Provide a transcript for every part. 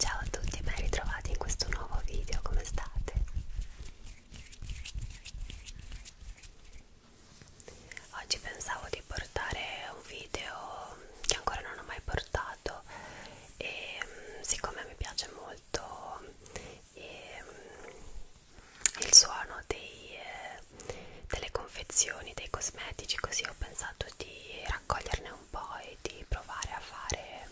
Ciao a tutti e ben ritrovati in questo nuovo video, come state? Oggi pensavo di portare un video che ancora non ho mai portato e mm, siccome mi piace molto e, mm, il suono dei, eh, delle confezioni, dei cosmetici, così ho pensato di raccoglierne un po' e di provare a fare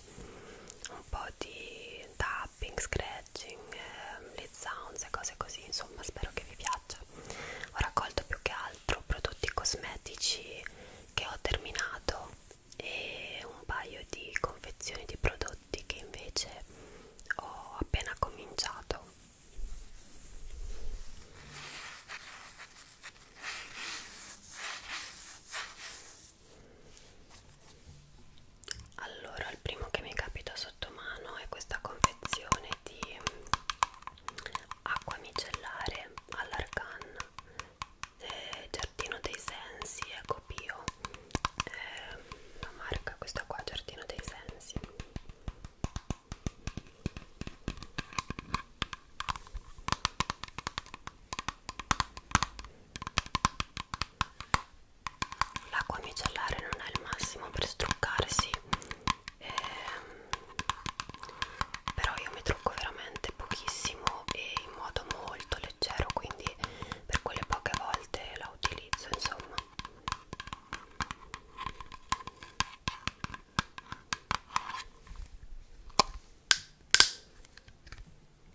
un po' di da tapping, scratching, eh, lead sounds e cose così, insomma spero che vi piaccia. Ho raccolto più che altro prodotti cosmetici che ho terminato e un paio di confezioni di prodotti che invece ho appena cominciato allora il primo che mi capita sotto mano è questa confezione di acqua micellare all'arcan eh, giardino dei sensi ecco bio eh, la marca questa qua giardino dei sensi l'acqua micellare non è il massimo per struccare sì ehm, però io mi trucco veramente pochissimo e in modo molto leggero quindi per quelle poche volte la utilizzo insomma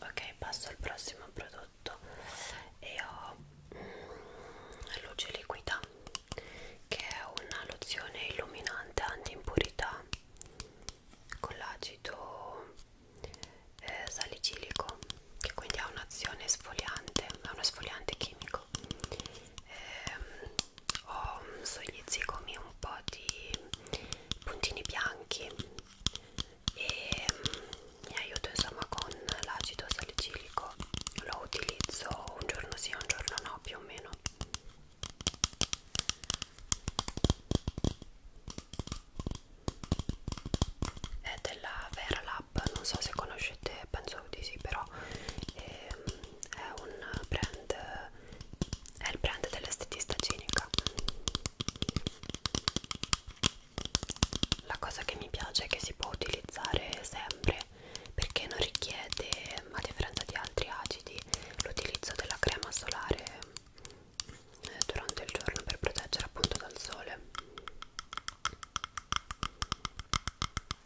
ok passo al prossimo prodotto e ho mm, luce liquida che è una lozione illuminante anti impurità con l'acido eh, salicilico che quindi ha un'azione sfoliante è uno sfoliante chimico ehm, ho sugli zigomi un po' di puntini bianchi e mm, mi aiuto insomma con l'acido salicilico lo utilizzo un giorno sì un giorno no più o meno è della Vera Lab non so se conoscete penso di sì però ehm, è un brand è il brand dell'estetista cinica la cosa che mi piace è che si può utilizzare sempre perché non richiede a differenza di altri acidi l'utilizzo della crema solare eh, durante il giorno per proteggere appunto dal sole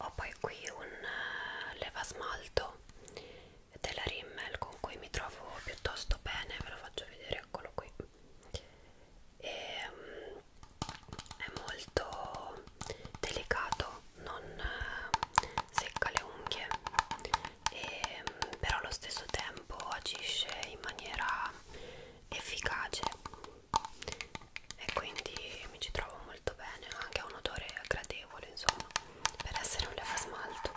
ho poi qui un eh, leva smalto della Rimmel con cui mi trovo piuttosto bene ve lo faccio vedere eccolo qui e, um, è molto delicato non eh, secca le unghie e, ehm, però allo stesso tempo agisce in maniera efficace e quindi mi ci trovo molto bene, anche ha un odore gradevole insomma per essere un leva smalto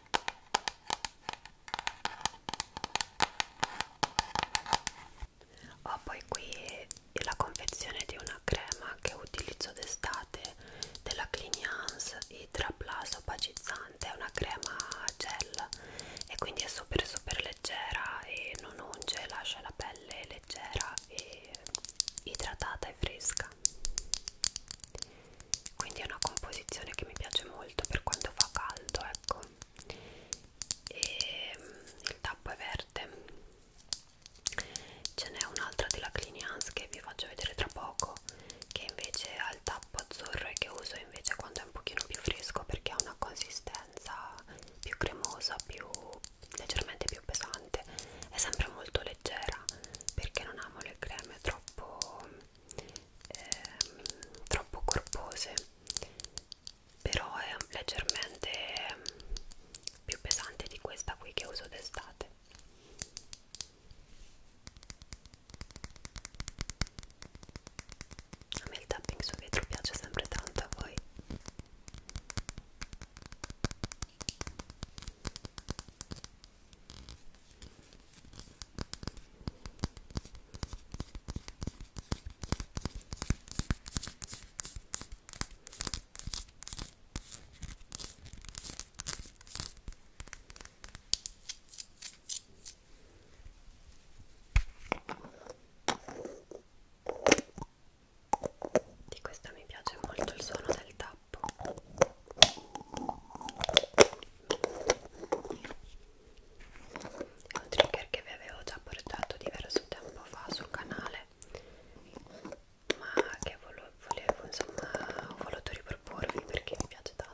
Ho poi qui la confezione di una crema che utilizzo d'estate della Clignans Hydra Plus opacizzante, è una crema gel e quindi è super super leggera e non unge, lascia la pelle leggera e idratata e fresca quindi è una composizione che mi piace molto per quando fa caldo ecco e mm, il tappo è verde ce n'è un'altra della Clinians che vi faccio vedere tra poco che invece ha il tappo azzurro e che uso invece quando è un pochino più fresco perché ha una consistenza più cremosa più leggermente più pesante è sempre molto leggera perché non amo le creme troppo ehm, troppo corpose però è leggermente più pesante di questa qui che uso d'estate a me il tapping su vetro piace sempre tanto a voi di questa mi piace molto il suono del tappo tappo è un trigger che vi avevo già portato diverso tempo fa sul canale ma che volevo, volevo insomma ho voluto riproporvi perché mi piace tanto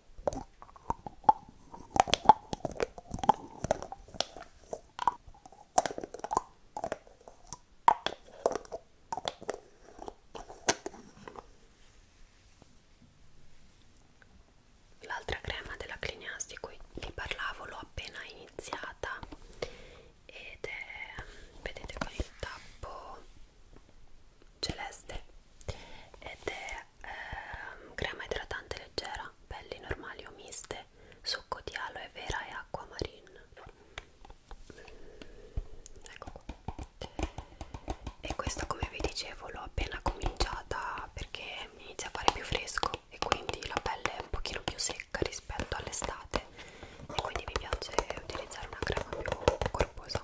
L'altra crema della Clinias di cui vi parlavo l'ho appena iniziata ed è, vedete con il tappo celeste ed è eh, crema idratante leggera, pelli normali o miste, succo di aloe vera e acqua marina. Ecco qua. E questa come vi dicevo l'ho appena cominciata perché inizia a fare più fresco e quindi la pelle è un pochino più secca rispetto all'estate e quindi mi piace utilizzare una crema più corposa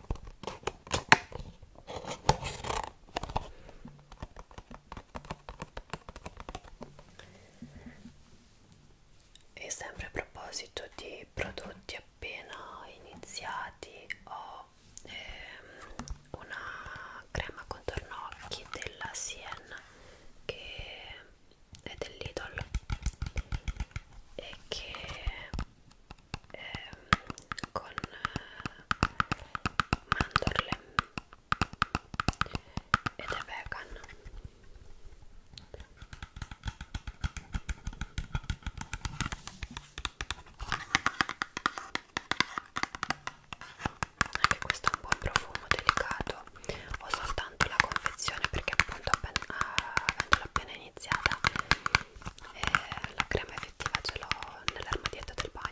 E sempre a proposito di prodotti appena iniziati, ho ehm, una crema contorno occhi della Sienna che è dell'Idol e che ehm, con eh, mandorle ed è vegan anche questo ha un buon profumo delicato ho soltanto la confezione perché appunto appen avendola ah, appena iniziata e eh, la crema effettiva ce l'ho nell'armadietto del bagno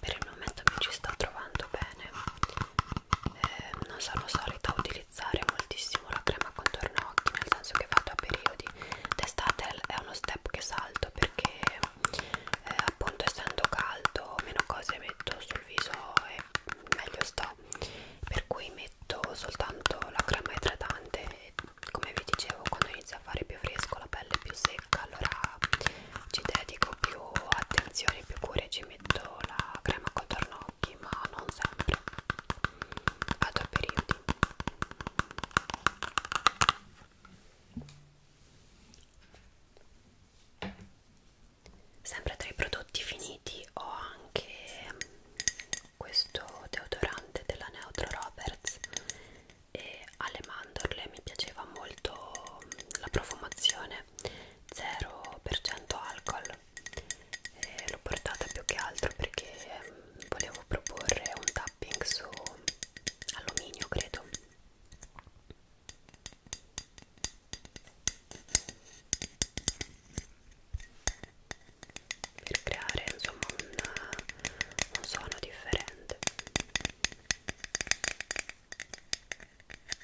per il momento mi ci sto trovando bene eh, non sono solita utilizzare moltissimo la crema contorno occhi nel senso che vado a periodi d'estate è uno step che salto perché eh, appunto essendo caldo meno cose metto sul viso e meglio sto per cui metto soltanto la crema idratante e come vi dicevo quando inizia a fare più fresco la pelle è più secca allora ci dedico più attenzione più cure ci ci metto la crema contornocchi ma non sempre a due periodi sempre tra i prodotti finiti ho anche questo deodorante della Neutro Roberts e alle mandorle mi piaceva molto la profumazione 0% alcol e l'ho portata più che altro perché ehm, volevo proporre un tapping su alluminio credo per creare insomma un, un suono differente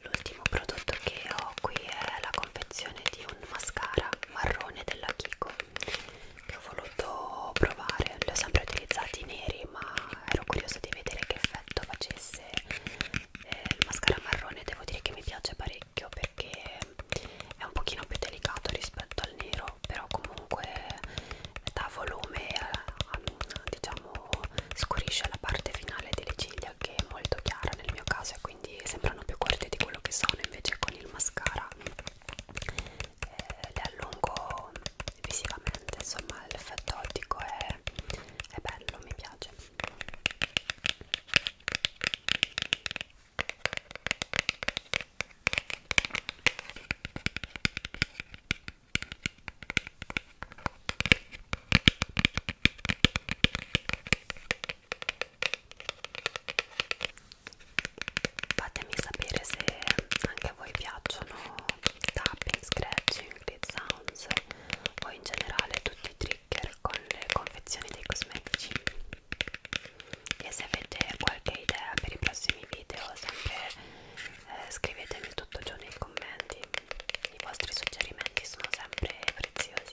L'ultimo prodotto che ho qui è la confezione di un mascara marrone della Kiko che ho voluto provare li ho sempre utilizzati neri ma ero curiosa di vedere che effetto facesse eh, il mascara marrone devo dire che mi piace parecchio perché è un pochino più delicato rispetto al nero però comunque dà volume diciamo scurisce la parte finale delle ciglia che è molto chiara nel mio caso e quindi sembrano più corte di quello che sono invece con il mascara eh, le allungo visivamente insomma l'effetto ottico è, è bello mi piace fatemi sapere se anche a voi piacciono tapping, scratching, grid sounds o in generale tutti i trigger con le confezioni dei cosmetici e se avete qualche idea per i prossimi video sempre eh, scrivetemi tutto giù nei commenti i vostri suggerimenti sono sempre preziosi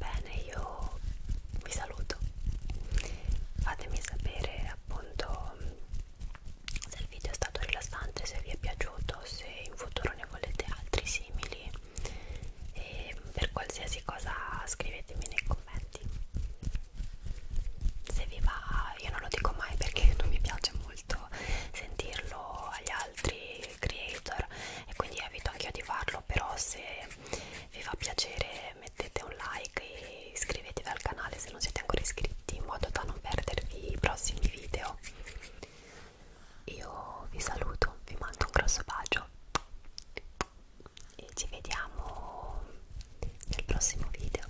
Bene, io vi saluto. Fatemi sapere appunto se il video è stato rilassante, se vi è piaciuto, se in futuro ne volete altri simili. E per qualsiasi cosa scrivetemi nei commenti. Se vi va, io non lo dico mai perché non mi piace molto sentirlo agli altri altri creator e quindi evito anch'io di farlo però se vi fa piacere mettete un like e iscrivetevi al canale se non siete ancora iscritti in modo da non perdervi i prossimi video io vi saluto vi mando un grosso bacio e ci vediamo nel prossimo video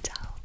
ciao